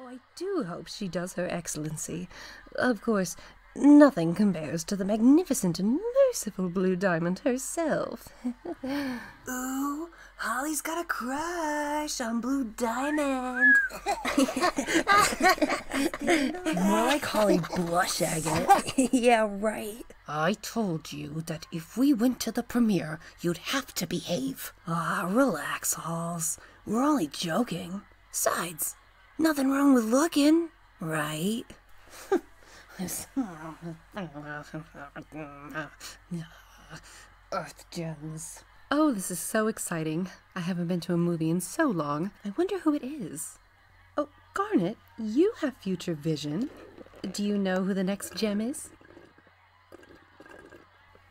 Oh, I do hope she does, Her Excellency. Of course, nothing compares to the magnificent and merciful Blue Diamond herself. Ooh, Holly's got a crush on Blue Diamond. More like Holly blush agate. yeah, right. I told you that if we went to the premiere, you'd have to behave. Ah, relax, Halls. We're only joking. Sides, nothing wrong with looking, right? Earth gems. Oh, this is so exciting. I haven't been to a movie in so long. I wonder who it is. Oh, Garnet, you have future vision. Do you know who the next gem is?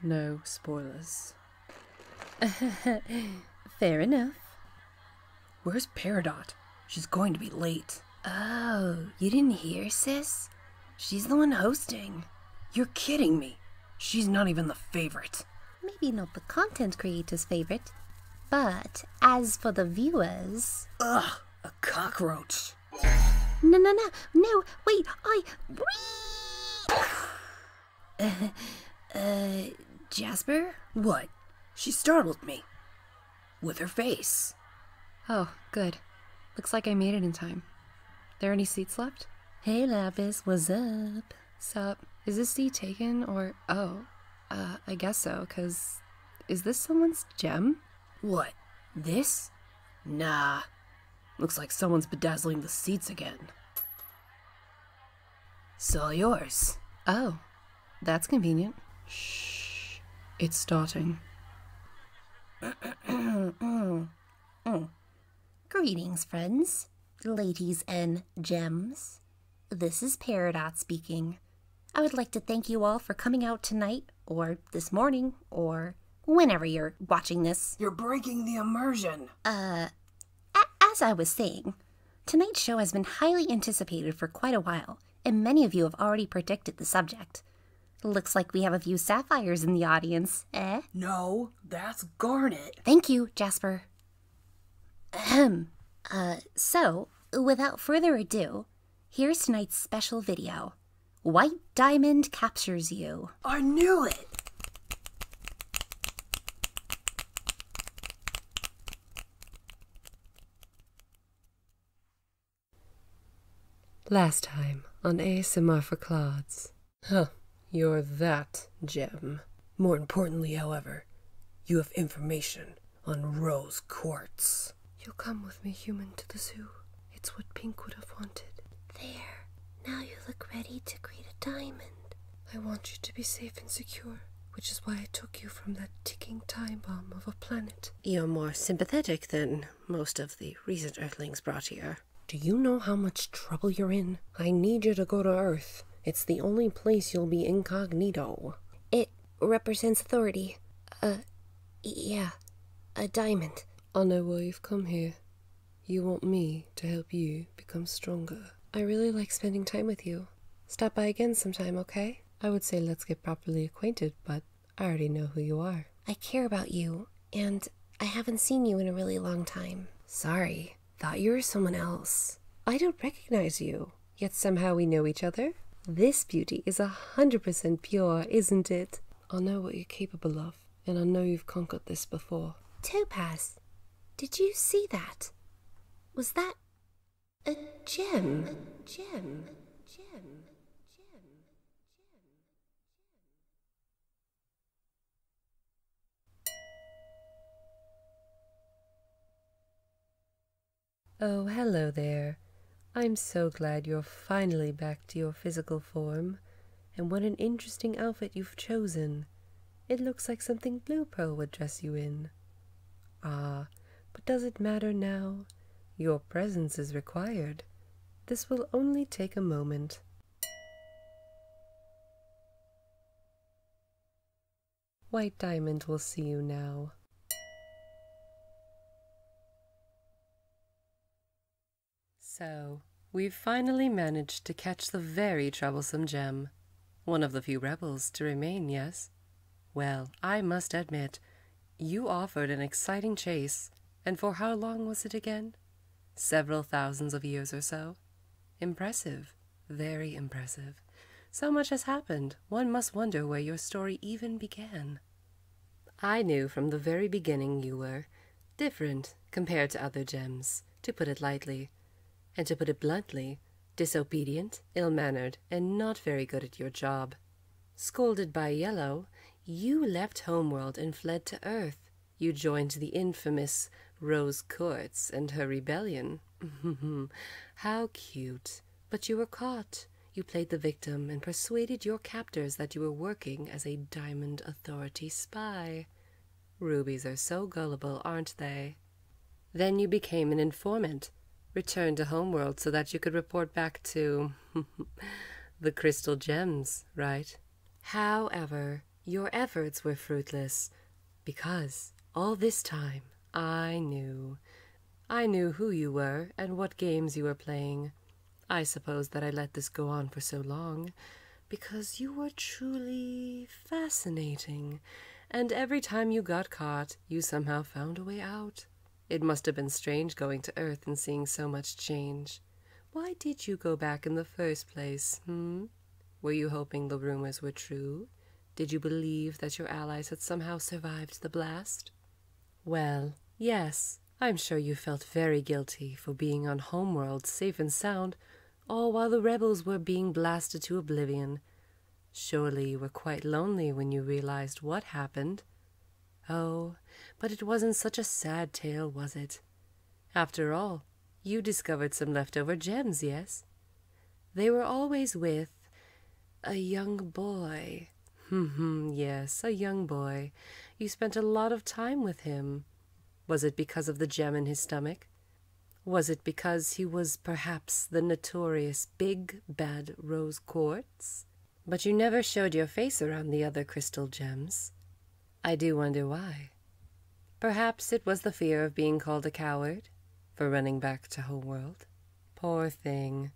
No spoilers. Fair enough. Where's Peridot? She's going to be late. Oh, you didn't hear, sis? She's the one hosting. You're kidding me. She's not even the favorite. Maybe not the content creator's favorite, but as for the viewers. Ugh! A cockroach. No, no, no, no, wait, I. Uh, uh, Jasper? What? She startled me. With her face. Oh, good. Looks like I made it in time. There any seats left? Hey, Lapis, what's up? Sup? Is this seat taken or. Oh, uh, I guess so, because is this someone's gem? What? This? Nah. Looks like someone's bedazzling the seats again. So yours. Oh, that's convenient. Shh. It's starting. Greetings, friends, ladies and gems. This is Peridot speaking. I would like to thank you all for coming out tonight, or this morning, or whenever you're watching this. You're breaking the immersion. Uh, as I was saying, tonight's show has been highly anticipated for quite a while, and many of you have already predicted the subject. Looks like we have a few sapphires in the audience, eh? No, that's garnet. Thank you, Jasper. Ahem. Uh, so, without further ado, here's tonight's special video White Diamond Captures You. I knew it! Last time on Asimov for Clods. Huh, you're that gem. More importantly, however, you have information on rose quartz. You'll come with me, human, to the zoo. It's what Pink would have wanted. There. Now you look ready to greet a diamond. I want you to be safe and secure, which is why I took you from that ticking time bomb of a planet. You're more sympathetic than most of the recent Earthlings brought here. Do you know how much trouble you're in? I need you to go to Earth. It's the only place you'll be incognito. It represents authority. a, uh, yeah, a diamond. I know why you've come here. You want me to help you become stronger. I really like spending time with you. Stop by again sometime, okay? I would say let's get properly acquainted, but I already know who you are. I care about you, and I haven't seen you in a really long time. Sorry, thought you were someone else. I don't recognize you. Yet somehow we know each other. This beauty is a hundred percent pure, isn't it? I know what you're capable of, and I know you've conquered this before. Topaz, did you see that? Was that a gem? A gem? A gem? Oh, hello there. I'm so glad you're finally back to your physical form. And what an interesting outfit you've chosen. It looks like something Blue Pearl would dress you in. Ah, but does it matter now? Your presence is required. This will only take a moment. White Diamond will see you now. So, we've finally managed to catch the very troublesome gem. One of the few rebels to remain, yes? Well, I must admit, you offered an exciting chase, and for how long was it again? Several thousands of years or so? Impressive very impressive. So much has happened, one must wonder where your story even began. I knew from the very beginning you were different compared to other gems, to put it lightly, and to put it bluntly, disobedient, ill mannered, and not very good at your job. Scolded by Yellow, you left Homeworld and fled to Earth. You joined the infamous Rose Quartz and her rebellion. How cute. But you were caught. You played the victim and persuaded your captors that you were working as a Diamond Authority spy. Rubies are so gullible, aren't they? Then you became an informant, returned to Homeworld so that you could report back to the Crystal Gems, right? However, your efforts were fruitless. Because all this time I knew. I knew who you were and what games you were playing. I suppose that I let this go on for so long because you were truly fascinating, and every time you got caught, you somehow found a way out. It must have been strange going to Earth and seeing so much change. Why did you go back in the first place, hmm? Were you hoping the rumors were true? Did you believe that your allies had somehow survived the blast? Well, yes, I'm sure you felt very guilty for being on home Homeworld safe and sound, all while the rebels were being blasted to oblivion. Surely you were quite lonely when you realized what happened. Oh, but it wasn't such a sad tale, was it? After all, you discovered some leftover gems, yes? They were always with a young boy. Hm yes, a young boy. You spent a lot of time with him. Was it because of the gem in his stomach? Was it because he was perhaps the notorious big bad rose quartz? But you never showed your face around the other crystal gems. I do wonder why. Perhaps it was the fear of being called a coward for running back to home world. Poor thing.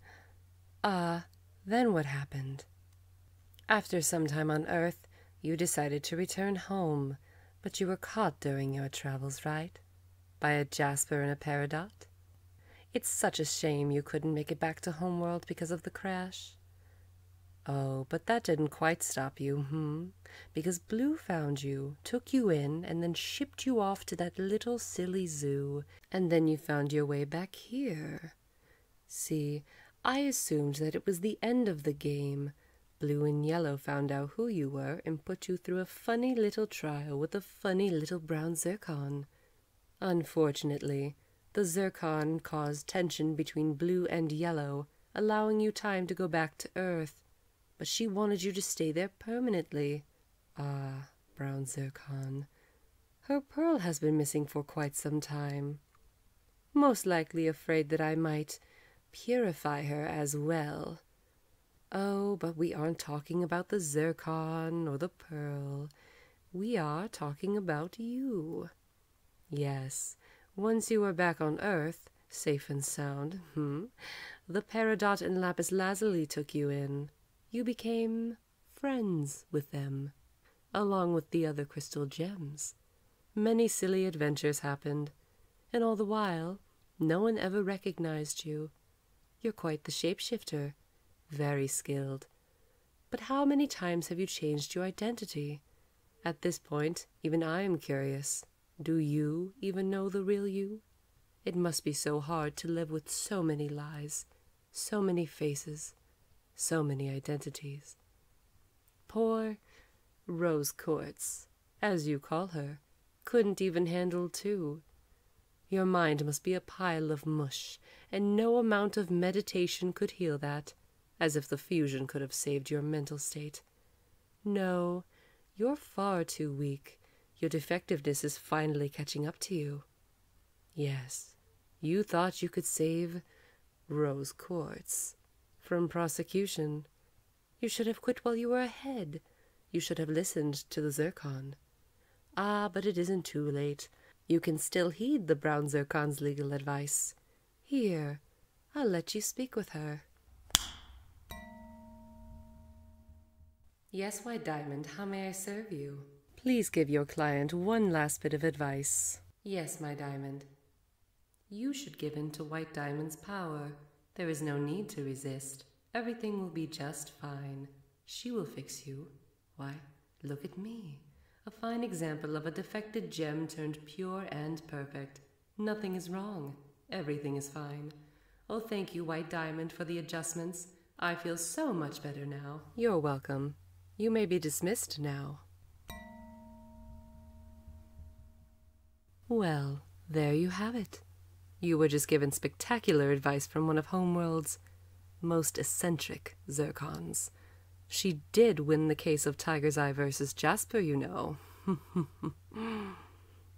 Ah, then what happened? After some time on Earth, you decided to return home, but you were caught during your travels, right? By a Jasper and a Peridot? It's such a shame you couldn't make it back to home world because of the crash. Oh, but that didn't quite stop you, hmm? because Blue found you, took you in, and then shipped you off to that little silly zoo, and then you found your way back here. See, I assumed that it was the end of the game. Blue and Yellow found out who you were and put you through a funny little trial with a funny little brown zircon. Unfortunately, the zircon caused tension between Blue and Yellow, allowing you time to go back to Earth. But she wanted you to stay there permanently. Ah, brown zircon. Her pearl has been missing for quite some time. Most likely afraid that I might purify her as well. Oh, but we aren't talking about the zircon or the pearl. We are talking about you. Yes, once you were back on Earth, safe and sound, hmm, the Peridot and Lapis Lazuli took you in. You became friends with them, along with the other crystal gems. Many silly adventures happened, and all the while, no one ever recognized you. You're quite the shapeshifter, very skilled. But how many times have you changed your identity? At this point, even I am curious. Do you even know the real you? It must be so hard to live with so many lies, so many faces, so many identities. Poor Rose Quartz, as you call her, couldn't even handle two. Your mind must be a pile of mush, and no amount of meditation could heal that, as if the fusion could have saved your mental state. No, you're far too weak. Your defectiveness is finally catching up to you. Yes, you thought you could save Rose Quartz from prosecution. You should have quit while you were ahead. You should have listened to the Zircon. Ah, but it isn't too late. You can still heed the Brown Zircon's legal advice. Here, I'll let you speak with her. Yes, White Diamond, how may I serve you? Please give your client one last bit of advice. Yes, my diamond. You should give in to White Diamond's power. There is no need to resist. Everything will be just fine. She will fix you. Why, look at me. A fine example of a defected gem turned pure and perfect. Nothing is wrong. Everything is fine. Oh, thank you, White Diamond, for the adjustments. I feel so much better now. You're welcome. You may be dismissed now. Well, there you have it. You were just given spectacular advice from one of Homeworld's most eccentric zircons. She did win the case of Tiger's Eye versus Jasper, you know.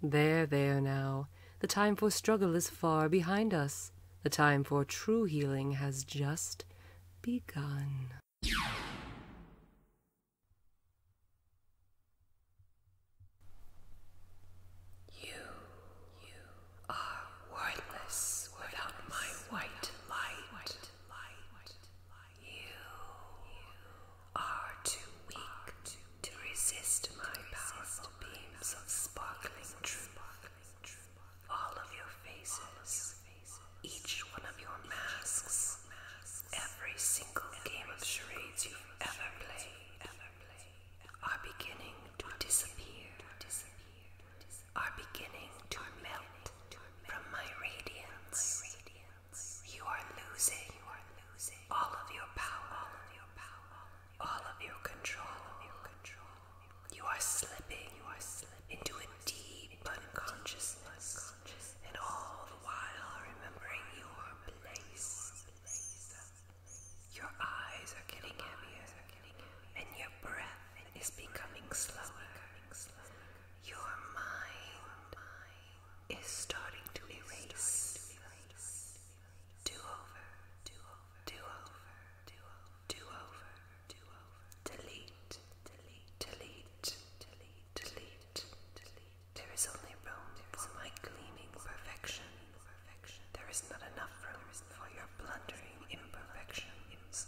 there, there now. The time for struggle is far behind us. The time for true healing has just begun. You are too weak to resist my powerful beams of sparkling truth. All of your faces, each one of your masks, every single game of charades you ever played, are beginning to disappear, are beginning to melt from my radiance. You are losing all of your power, all of your control. You are slipping into a deep unconsciousness, and all the while remembering your place. Your eyes are getting heavier, and your breath is becoming slower. Your mind is starting to erase. Do over, do over, do over, do over, do over, do over. Delete, delete, delete, delete, delete, delete. There is only room for my gleaming perfection. There is not enough room for your blundering imperfections.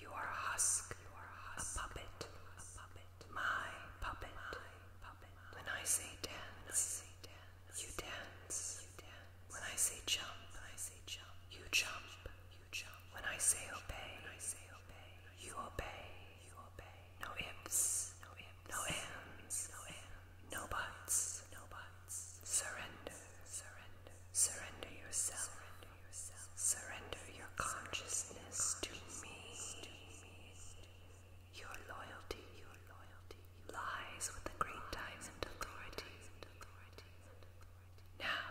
You are a husk. You are a, husk. a puppet. A puppet. My puppet. My puppet. When I say dance, I say dance. You dance. You dance. When I say jump, when I say jump. You jump. You jump. When I say obey, when I say obey. You obey. You obey. No ifs. No ifs. No ands. No ands. No buts. No buts. Surrender. Surrender. Surrender yourself. Surrender. Surrender your consciousness to me. Your loyalty, your loyalty lies with the great diamond authority. Now,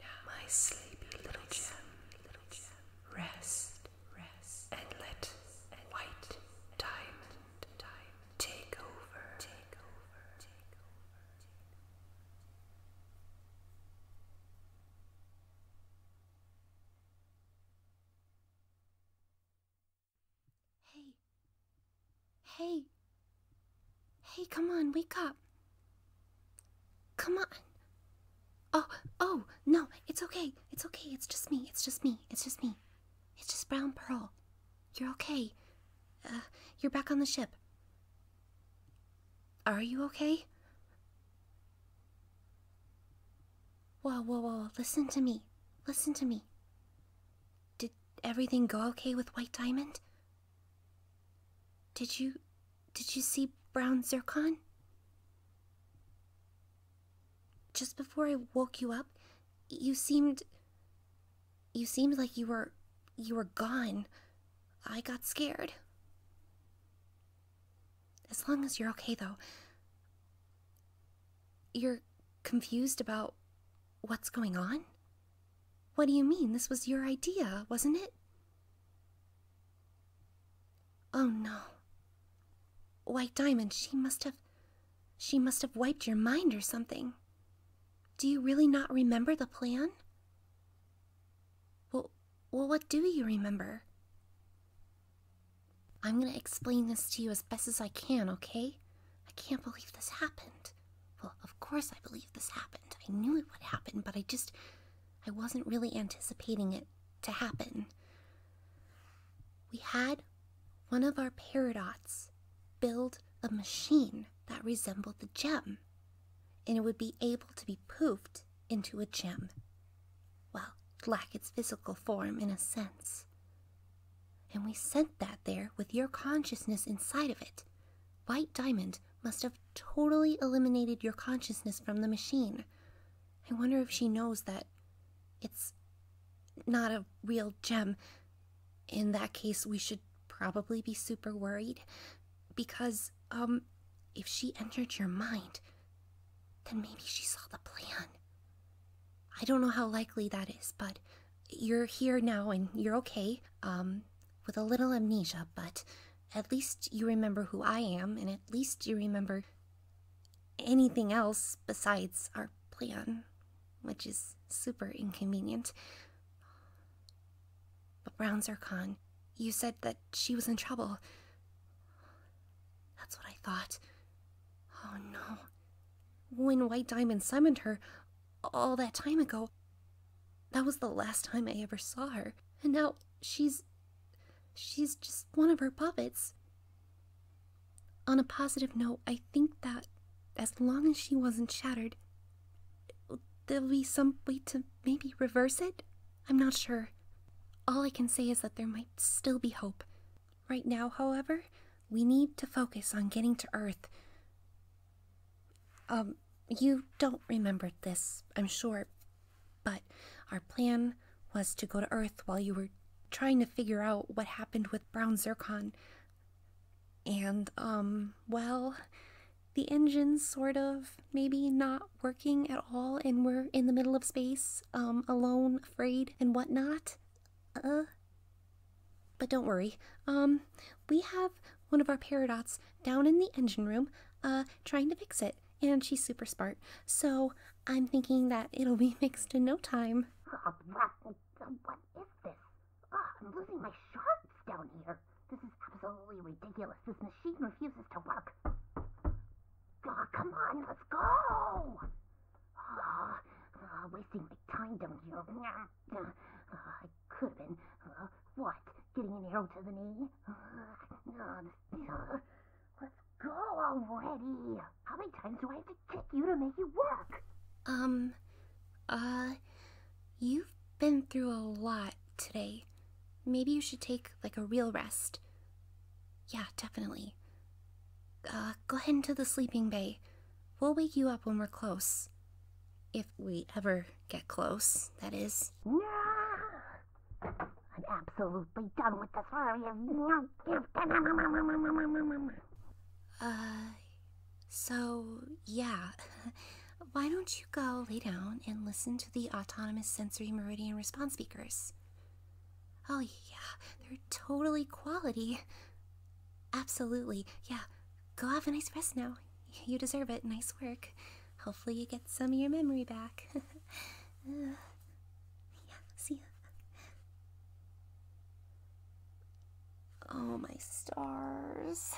now, my sleepy little gem, little gem, rest, rest, and let white diamond, diamond take over, take over, take over. Hey. Hey. Hey, come on, wake up. Come on. Oh, oh, no, it's okay. It's okay. It's just me. It's just me. It's just me. It's just Brown Pearl. You're okay. Uh, you're back on the ship. Are you okay? Whoa, whoa, whoa, listen to me. Listen to me. Did everything go okay with White Diamond? Did you. Did you see Brown Zircon? Just before I woke you up, you seemed. You seemed like you were. You were gone. I got scared. As long as you're okay, though. You're confused about what's going on? What do you mean? This was your idea, wasn't it? Oh no. White Diamond, she must have. She must have wiped your mind or something. Do you really not remember the plan? Well, well, what do you remember? I'm gonna explain this to you as best as I can, okay? I can't believe this happened. Well, of course I believe this happened. I knew it would happen, but I just. I wasn't really anticipating it to happen. We had one of our paradots build a machine that resembled the gem and it would be able to be poofed into a gem. Well, lack its physical form in a sense. And we sent that there with your consciousness inside of it. White Diamond must have totally eliminated your consciousness from the machine. I wonder if she knows that it's not a real gem. In that case, we should probably be super worried because, um, if she entered your mind, then maybe she saw the plan. I don't know how likely that is, but you're here now and you're okay, um, with a little amnesia, but at least you remember who I am, and at least you remember anything else besides our plan, which is super inconvenient. But Brown Zircon, you said that she was in trouble. That's what I thought. Oh no. When White Diamond summoned her all that time ago, that was the last time I ever saw her. And now she's. she's just one of her puppets. On a positive note, I think that as long as she wasn't shattered, There'll be some way to maybe reverse it? I'm not sure. All I can say is that there might still be hope. Right now, however, we need to focus on getting to Earth. Um, you don't remember this, I'm sure, but our plan was to go to Earth while you were trying to figure out what happened with Brown Zircon. And, um, well, the engine's sort of maybe not working at all, and we're in the middle of space, um, alone, afraid, and whatnot. Uh. But don't worry. Um, we have one of our paradots down in the engine room, uh, trying to fix it, and she's super smart. So I'm thinking that it'll be fixed in no time. What is this? Ah, I'm losing my shards down here. This is absolutely ridiculous. This machine refuses to work. Oh, come on, let's go! Oh, oh, wasting my time down here. Oh, I could have been, uh, what, getting an arrow to the knee? God, let's go already! How many times do I have to kick you to make you work? Um, uh, you've been through a lot today. Maybe you should take, like, a real rest. Yeah, definitely. Uh, go ahead into the sleeping bay. We'll wake you up when we're close. If we ever get close, that is. No! I'm absolutely done with this. Uh, so yeah. Why don't you go lay down and listen to the autonomous sensory meridian response speakers? Oh, yeah, they're totally quality. Absolutely, yeah. Go have a nice rest now. You deserve it. Nice work. Hopefully, you get some of your memory back. Uh, yeah, see ya. Oh, my stars.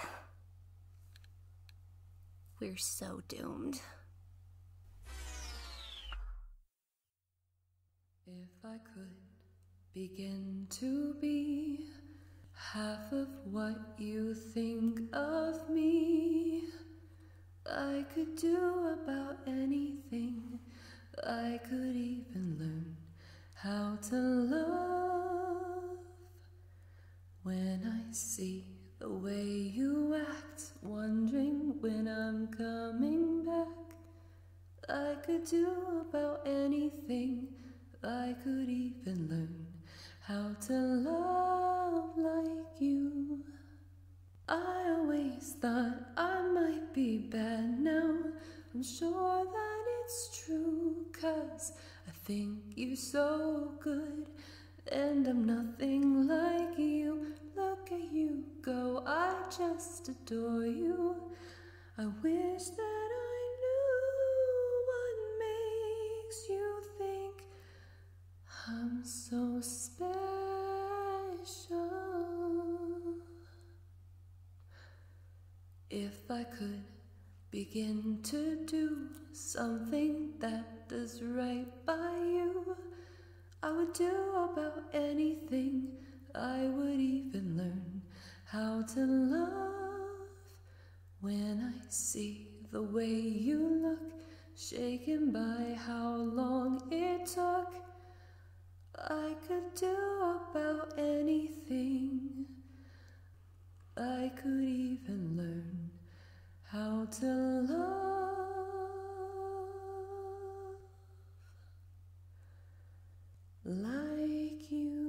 We're so doomed. If I could begin to be half of what you think of me, I could do about anything. I could even learn how to love when I see the way you act, wondering when I'm coming back. I could do about anything, I could even learn how to love like you. I always thought I might be bad now. I'm sure that it's true, cause I think you are so good, and I'm nothing like you. Look at you go, I just adore you. I wish that I knew what makes you think I'm so special. If I could begin to do something that is right by you, I would do about anything. I would even learn how to love. When I see the way you look, shaken by how long it took, I could do about anything. I could even learn how to love like you.